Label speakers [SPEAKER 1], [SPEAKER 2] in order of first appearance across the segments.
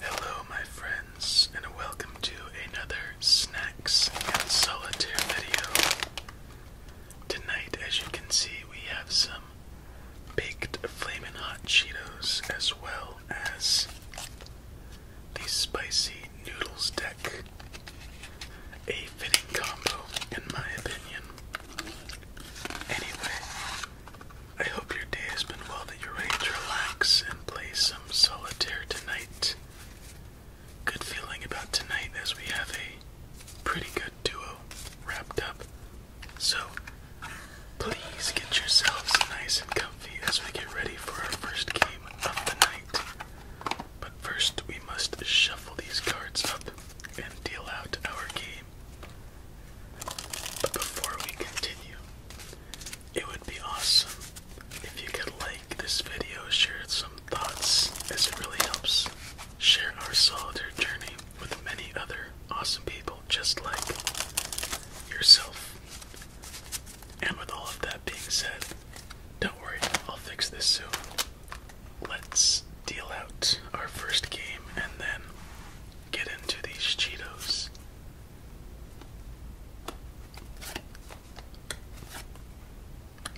[SPEAKER 1] Hello, my friends, and welcome to another Snacks and Solitaire video. Tonight, as you can see, we have some baked flamin' hot Cheetos as well as the spicy noodles deck. A fitting combo, in my opinion. Anyway, I hope your day has been well, that you're ready to relax and play some solitaire tonight. Good feeling about tonight as we have a pretty good duo wrapped up. So, Please get yourselves nice and comfy as we get ready for our first game of the night. But first, we must shuffle these cards up and deal out our game. But before we continue, it would be awesome if you could like this video, share some thoughts, as it really helps share our solitaire journey with many other awesome people just like yourself. And with all of that being said, don't worry, I'll fix this soon. Let's deal out our first game and then get into these Cheetos.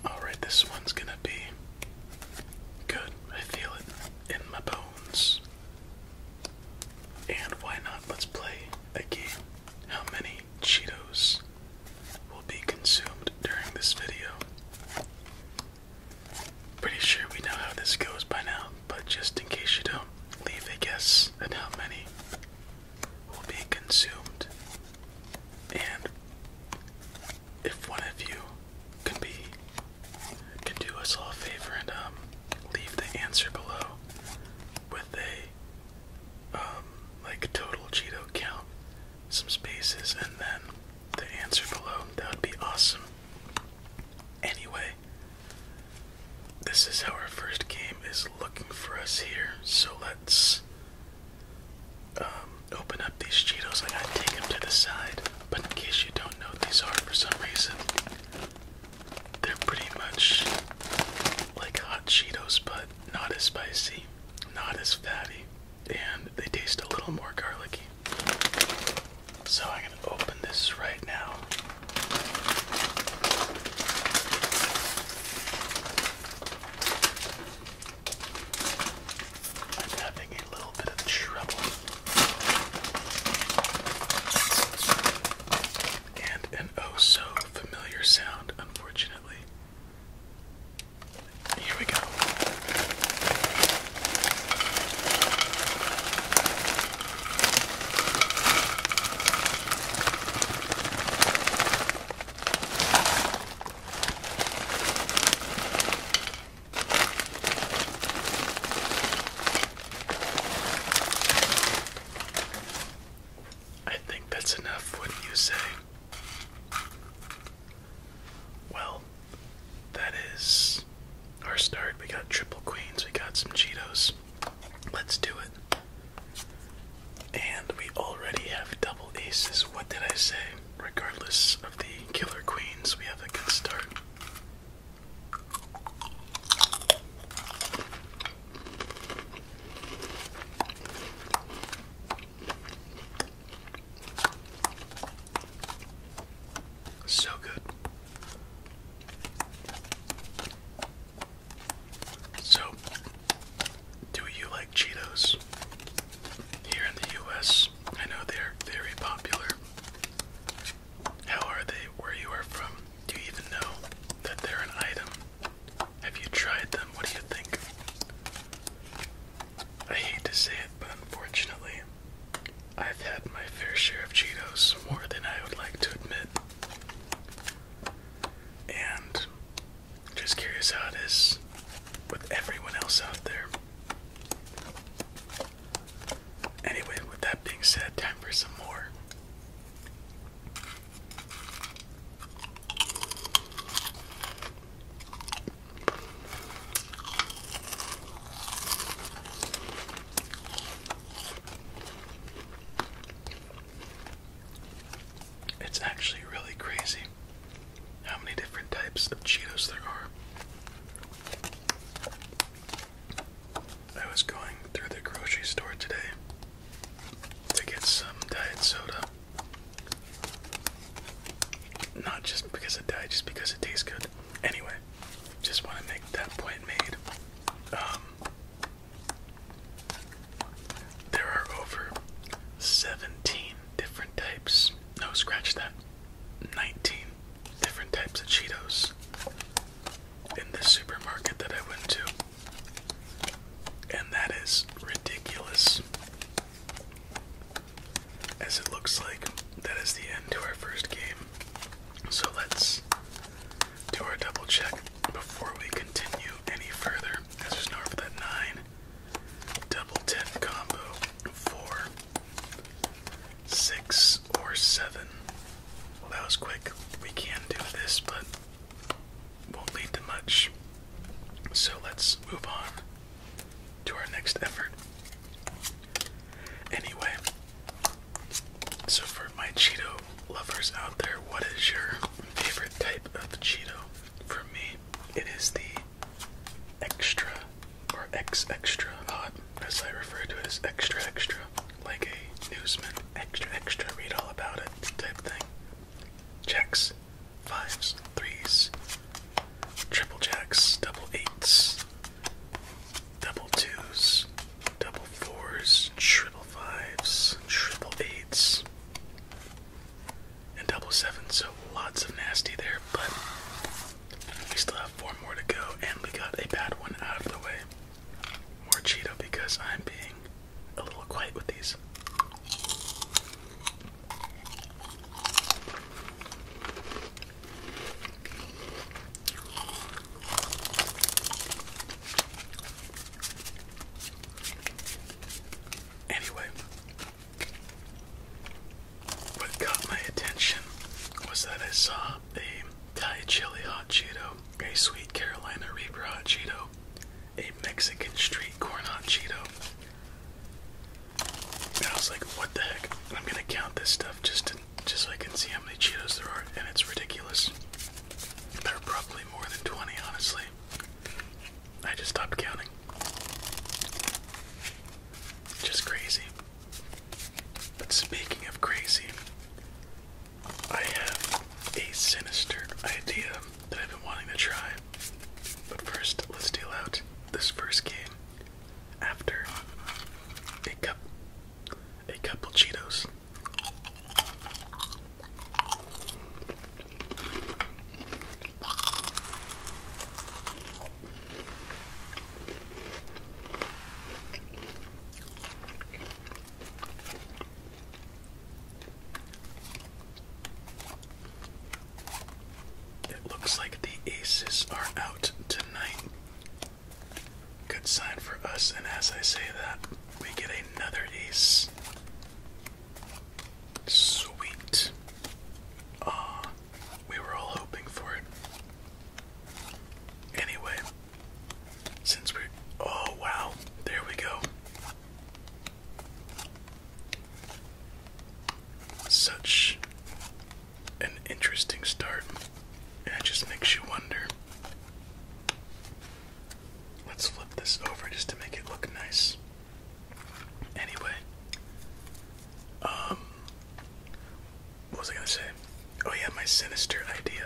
[SPEAKER 1] Alright, this one's gonna be good. I feel it in my bones. And why not? Let's play a game. How many Cheetos will be consumed during this video? Pretty sure we know how this goes by now, but just in case you don't, leave a guess at how many will be consumed. And if one of you can be could do us all a favor and um, leave the answer below with a um, like total Cheeto count, some spaces, and then the answer below. That would be awesome. Anyway, this is how our first game is looking for us here. So let's um, open up these Cheetos. I gotta take them to the side, but in case you don't know what these are for some reason, they're pretty much like hot Cheetos, but not as spicy, not as fatty, and they taste a little more garlicky. So I'm going to open this right now. I'm having a little bit of trouble and an oh so familiar sound, unfortunately. Here we go. I think that's enough, wouldn't you say? Well, that is our start. We got triple queens, we got some Cheetos. Let's do it. And we already have double aces. What did I say? Regardless of the killer queens, we have a good start. So good. So, do you like Cheetos? Here in the US, I know they're very popular. How are they where you are from? Do you even know that they're an item? Have you tried them? What do you think? I hate to say it, but unfortunately, I've had my fair share of Cheetos, more than I would like to admit. And just curious how it is with everyone else out there. Anyway, with that being said, time for some more. It's actually really crazy how many different types of Cheetos there are. I was going through the grocery store today to get some diet soda. Not just because it died, just because it tastes good. Anyway, just want to make that point made. Um, there are over 17 different types. No, scratch that. 19 different types of Cheetos in this supermarket that I went to, and that is ridiculous. As it looks like that is the end to our first game, so let's do our double check before we continue any further. As there's no for that nine, double ten combo, four, six, or seven. Well, that was quick. We can do this, but won't lead to much. So let's move on to our next effort. Anyway, so for my Cheeto lovers out there, what is your favorite type of Cheeto? For me, it is the extra or X extra hot, as I refer to it as extra extra like a newsman, extra, extra, read all about it type thing. Jacks, fives, threes, triple jacks, double eights, double twos, double fours, triple fives, triple eights, and double sevens. So lots of nasty there, but we still have four more to go, and we got a bad one out of the way more Cheeto because I'm being a little quiet with these. Anyway, what caught my attention was that I saw up a Thai chili hot Cheeto, a Sweet Carolina Reaper hot Cheeto, a Mexican street corn hot Cheeto. And I was like, what the heck? I'm gonna count this stuff just to, just so I can see how many Cheetos there are, and it's ridiculous. There are probably more than 20, honestly. I just stopped counting. Just crazy. But speaking of crazy, I have a sinister idea that I've been wanting to try. But first, let's deal out this first game after a cup a couple Cheetos. It looks like the aces are out tonight. Good sign for us, and as I say that, we get another ace. Sweet. Ah, we were all hoping for it. Anyway, since we're. Oh, wow. There we go. Such an interesting start. And it just makes you wonder. Let's flip this over just to make it look nice. Anyway, um, what was I gonna say? Oh yeah, my sinister idea.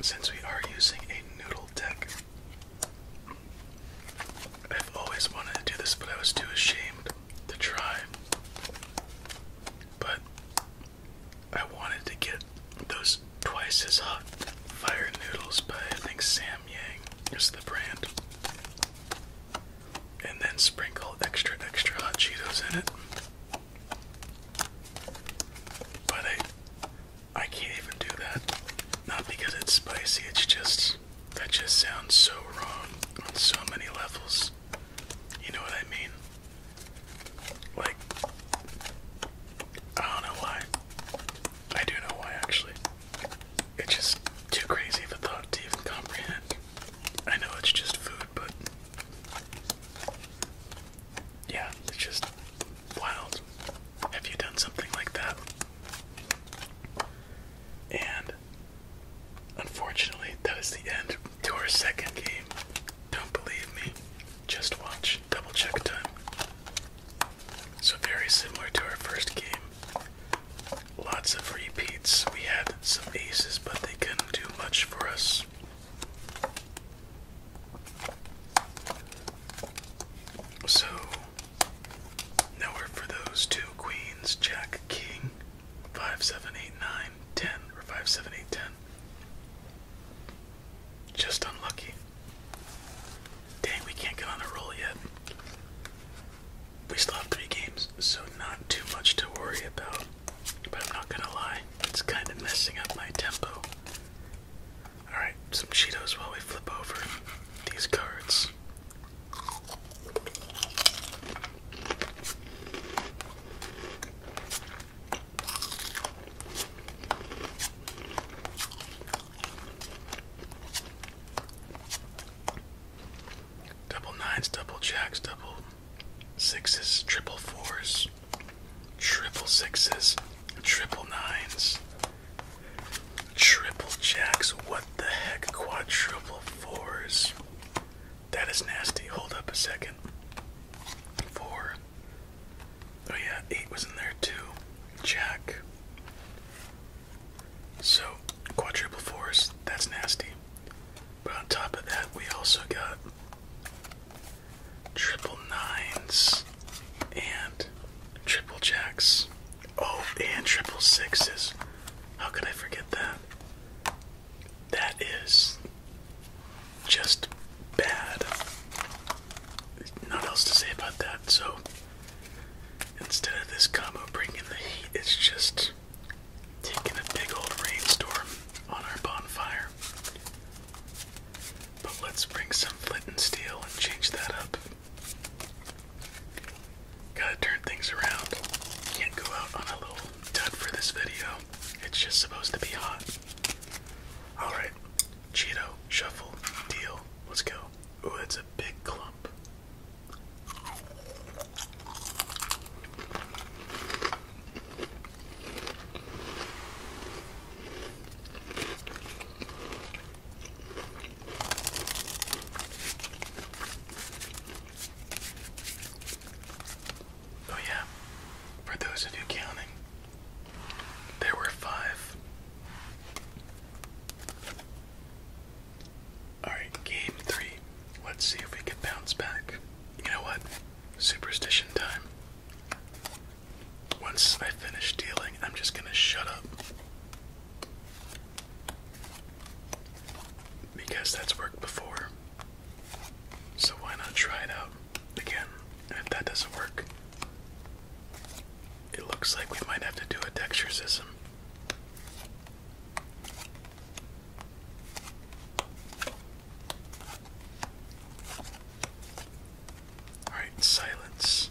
[SPEAKER 1] Since we are using a noodle deck, I've always wanted to do this, but I was too ashamed to try. But I wanted to get those twice as hot fire noodles by I think Sam Yang is the brand. And then sprinkle extra extra hot Cheetos in it. But I I can't even do that. Not because it's spicy, it's just that just sounds so wrong on so many levels. You know what I mean? Like, I don't know why. I do know why, actually. It's just too crazy of a thought to even comprehend. I know it's just food, but. Yeah, it's just wild. Have you done something like that? And unfortunately, that is the end to our second game don't believe me? Just watch. Double check time. So, very similar to our first game. Lots of repeats. We had some aces, but they couldn't do much for us. So, now we're for those two queens, Jack King, 5789. 10, or 5, 7, 8, 10. Just unlucky. Dang, we can't get on a roll yet. We still have three games, so not too much to worry about. But I'm not gonna lie, it's kind of messing up my tempo. Alright, some Cheetos while we flip over these cards. Double nines, double jacks, double sixes, triple fours, triple sixes, triple nines, triple jacks. What the heck? Quadruple fours. That is nasty. Hold up a second. Four, Oh yeah, eight was in there too. Jack. So quadruple 4s that's nasty. But on top of that, we also got triple nines and triple jacks. Oh, and triple sixes. How could I forget that? That is just bad. There's not else to say about that. So instead of this combo bringing the heat, it's just taking a big old rainstorm on our bonfire. But let's bring some flint and steel and change that up. Gotta turn things around. Can't go out on a little dud for this video it's just supposed to be hot. Alright, Cheeto, shuffle, deal, let's go. Ooh, it's a big clump. Oh, yeah. For those of you counting, there were five. Alright, game three. Let's see if we can bounce back. You know what? Superstition time. Once I finish dealing, I'm just gonna shut up. Because that's worked before. So why not try it out again? if that doesn't work, it looks like we might have to do a dextrecism. Alright, silence.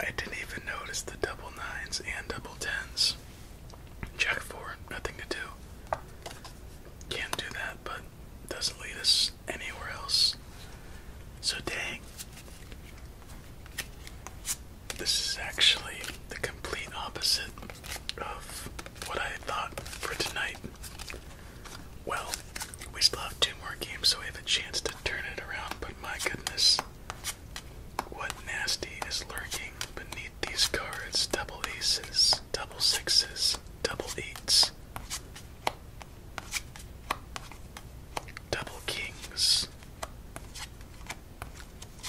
[SPEAKER 1] I didn't even notice the double nines and double tens. Jack four, nothing to do. Can't do that, but doesn't lead us anywhere else. So dang. This is actually the complete opposite of what I thought for tonight. Well, we still have two more games, so we have a chance to turn it around, but my goodness, what nasty is lurking beneath these cards? Double aces, double sixes, double eights, double kings,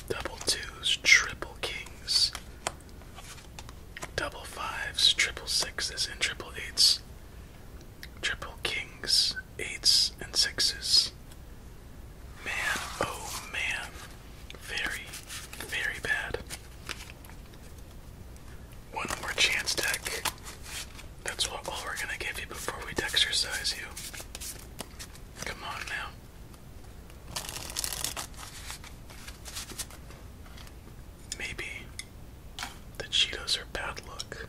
[SPEAKER 1] double twos, triple kings, double fives, triple sixes, and triple eights, triple kings, eights, and sixes. Man, oh man. Very, very bad. One more chance deck. That's what all we're gonna give you before we exercise you. Come on now. Maybe the Cheetos are bad luck.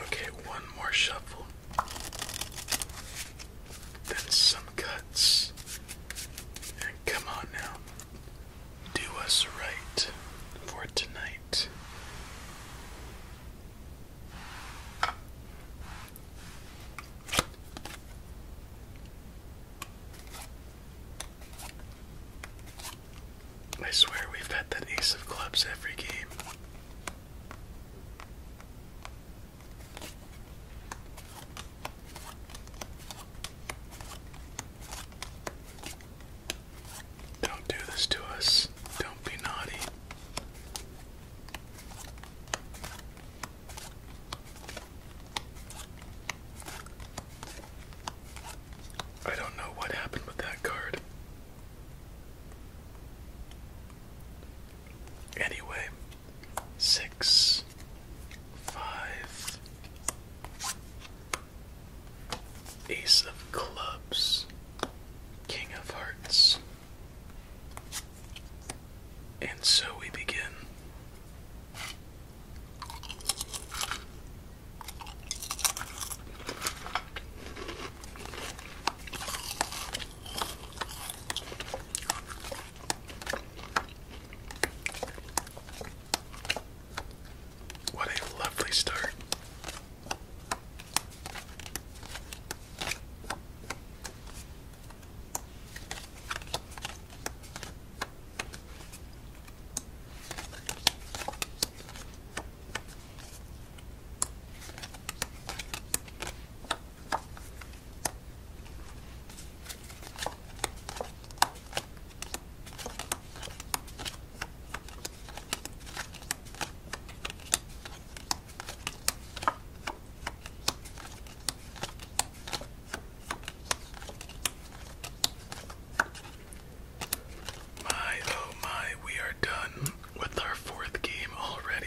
[SPEAKER 1] Okay, one more shuffle then some cuts. And come on now. Do us right for tonight. I swear we've had that ace of clubs every game. Don't do this to us. Don't be naughty. I don't know what happened with that card. Anyway, six, five, ace of clubs, king of hearts. And so we begin. What a lovely start. My, oh my, we are done with our fourth game already.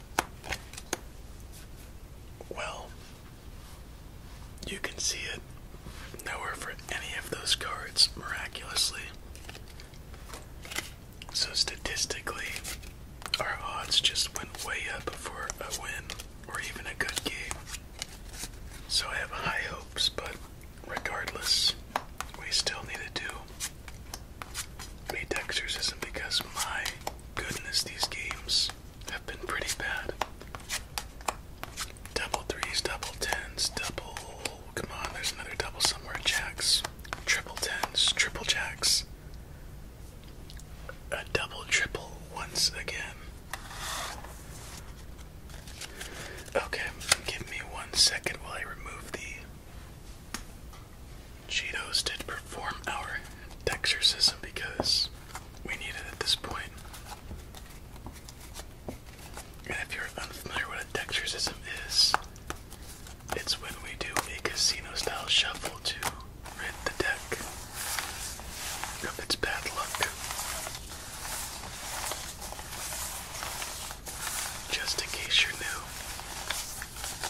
[SPEAKER 1] Well, you can see it nowhere for any of those cards miraculously. So statistically, our odds just went way up for a win or even a good game. So I have high hopes, but regardless, we still need to do made exorcism because my goodness, these games have been pretty bad. Double threes, double tens, double. Come on, there's another double somewhere. Jacks, triple tens, triple jacks. A double triple once again. Okay, give me one second while I remove the Cheetos did perform our dexterism because we need it at this point. And if you're unfamiliar with what a dexterism is, it's when we do a casino style shuffle to rid the deck of its bad luck. Just in case you're new,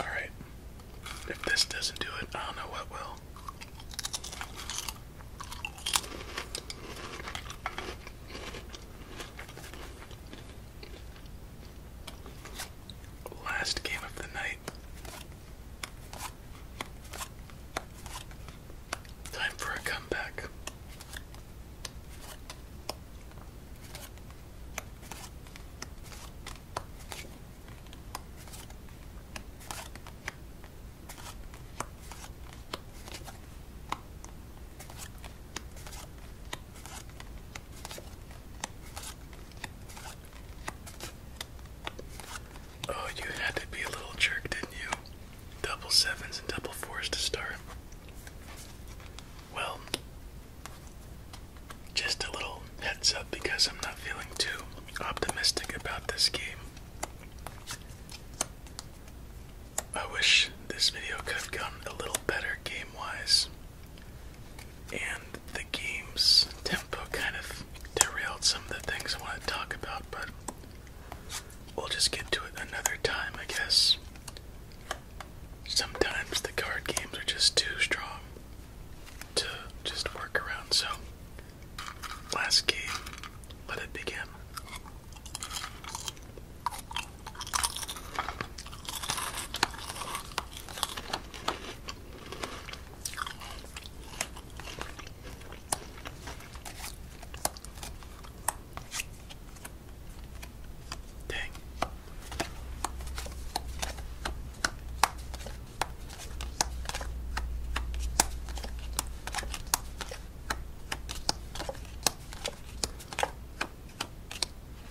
[SPEAKER 1] Alright. If this doesn't do it, I don't know what will. Last game of the night. Time for a comeback. Oh, you had to be a little jerk, didn't you? Double sevens and double fours to start. Well, just a little heads up because I'm not feeling too optimistic about this game. I wish this video could have gone a little better game wise, and the game's tempo kind of derailed some of the things I want to talk about, but we'll just get to it another time, I guess sometimes the card games are just too strong to just work around. So, last game, let it begin. Dang.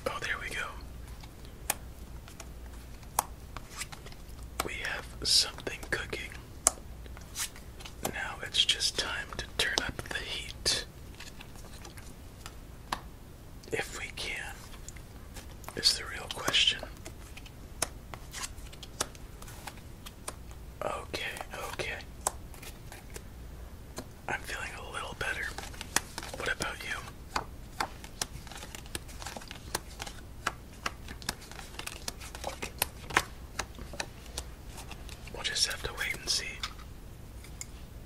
[SPEAKER 1] Oh, there we go. We have something cooking. Now it's just time to turn up the heat if we can, is the real question. Okay, okay. I'm feeling a little better. What about you? We'll just have to wait and see.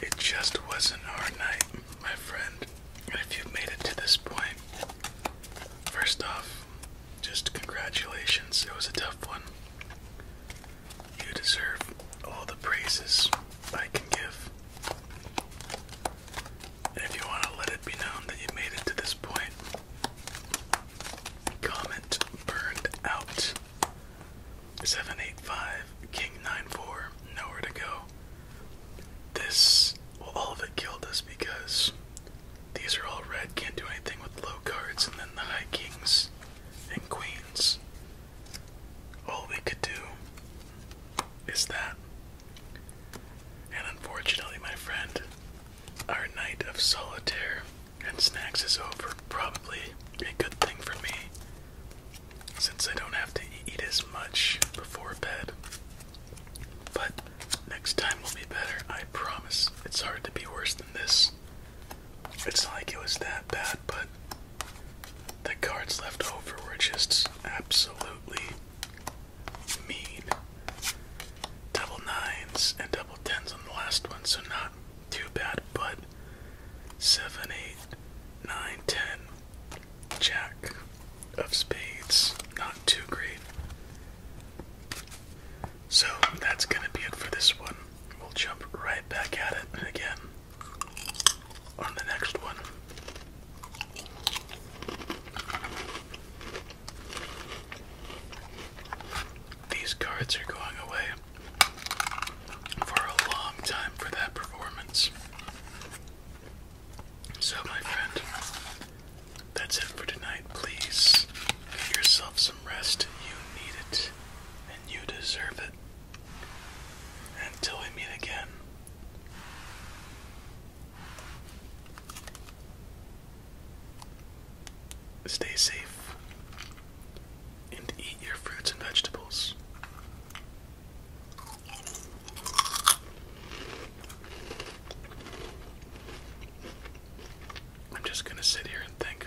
[SPEAKER 1] It just wasn't our night, my friend. if you made it to this point, first off, just congratulations. It was a tough one. You deserve all the praises I can give. if you want to let it be known that you made it to this point, comment burned out Seven eight five, king nine four, nowhere to go. This well all of it killed us because these are all red, can't do anything with low cards, and then the high kings and queens. All we could do is that. And unfortunately, my friend, our night of solitaire and snacks is over. Probably a good thing for me since I don't have to eat as much before bed. But next time will be better, I promise. It's hard to be worse than this. It's not like it was that bad, but the cards left over were just absolutely mean. Double nines and double tens on the last one, so not too bad, but seven, eight, nine, ten, Jack of Spades, not too great. So that's gonna be it for this one. We'll jump right back at it again on the next one. These cards are going away for a long time for that performance. So, my friend, that's it for tonight. Please give yourself some rest. You need it, and you deserve it. Until we meet again. Stay safe and eat your fruits and vegetables. I'm just going to sit here and think.